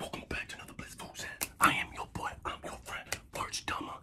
Welcome back to another blissful set. I am your boy, I'm your friend, Birch Dumber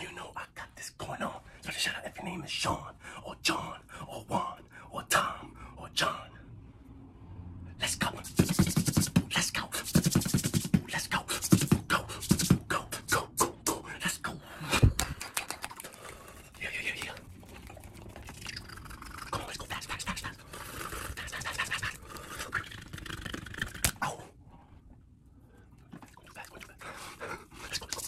You know I got this going on. So shout out if your name is Sean or John or Juan or Tom or John. Let's go. Let's go. Let's go. Go. Go. Go. Go. Go. Let's go. Yeah, yeah, yeah, yeah. Come on, let's go fast, fast, fast, fast. Fast, fast, fast, fast, fast, fast. Ow. Go too fast, go too fast. Let's go, let's go.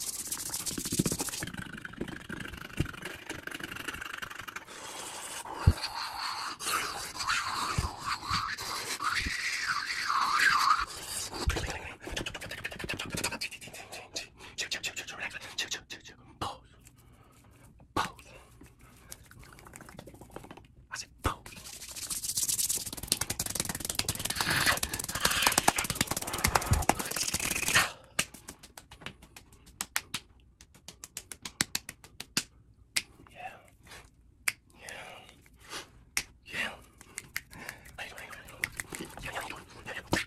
Chill, chill, chill, chill, chill, relax. Chill, chill, chill, chill. Pose. I said pose. Yeah. Yeah. Yeah.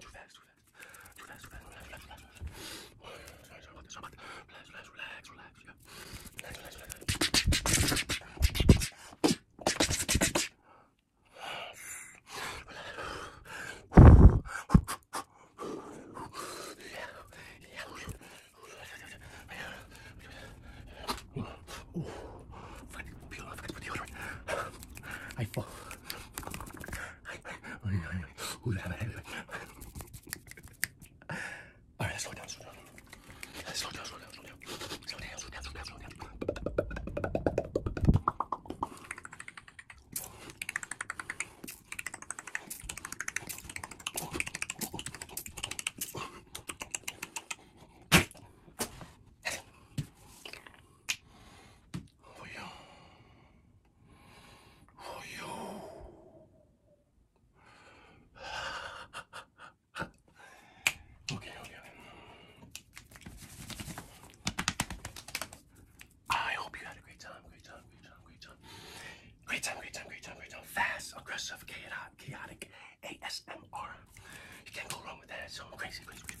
Too fast, too fast. Too fast, too fast. Relax, relax, relax, relax. Relax, relax, relax, relax. Yeah. Relax, relax, relax. I fall. All right, slow down, slow down. Slow down, slow down, slow down. Slow down, slow down, slow down, slow down for you. For you. okay, okay. I hope you had a great time, great time, great time, great time. Great time, great time, great time, great time. Fast, aggressive, chaotic, ASMR. You can't go wrong with that. So crazy, crazy, crazy.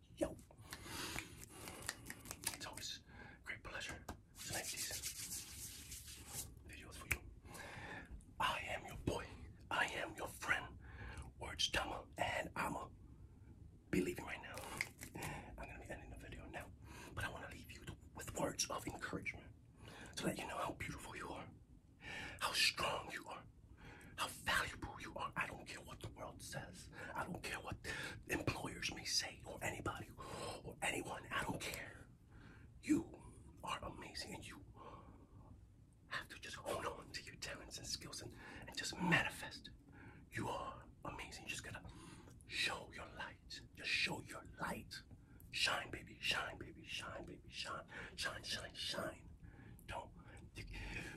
Yo. It's always great pleasure to make these videos for you. I am your boy. I am your friend, Words Tama, and I'm a be leaving right now. I'm gonna be ending the video now, but I want to leave you with words of encouragement to let you know how beautiful you are, how strong you are, how valuable you are. I don't care what the world says. I don't care what employers may say or anybody or anyone. I don't care. You are amazing and you have to just hold on to your talents and skills and, and just manifest. You are amazing. You just gotta show your light. Just show your light. Shine, baby. Shine, baby. Shine, baby. Shine. Shine, shine, shine. Don't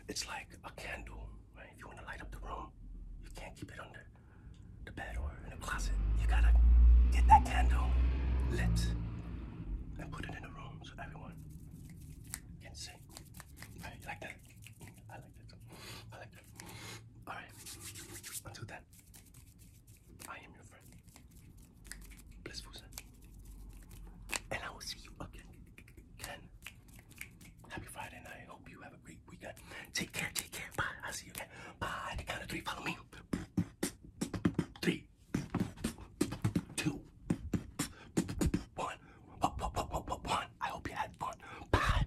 it's like a candle, right? If you want to light up the room, you can't keep it under the bed or in a closet. You gotta get that candle lit and put it in a room so everyone can see. Right? like that? I like that I like that. Alright. Until then, I am your friend. Blissful And I will see you again Happy Friday night. Hope you have a great weekend. Take care, take care. Bye. I'll see you again. Bye. The count of three. Follow me. Three, two, one. One, one, one, one, one. I hope you had fun. Bye.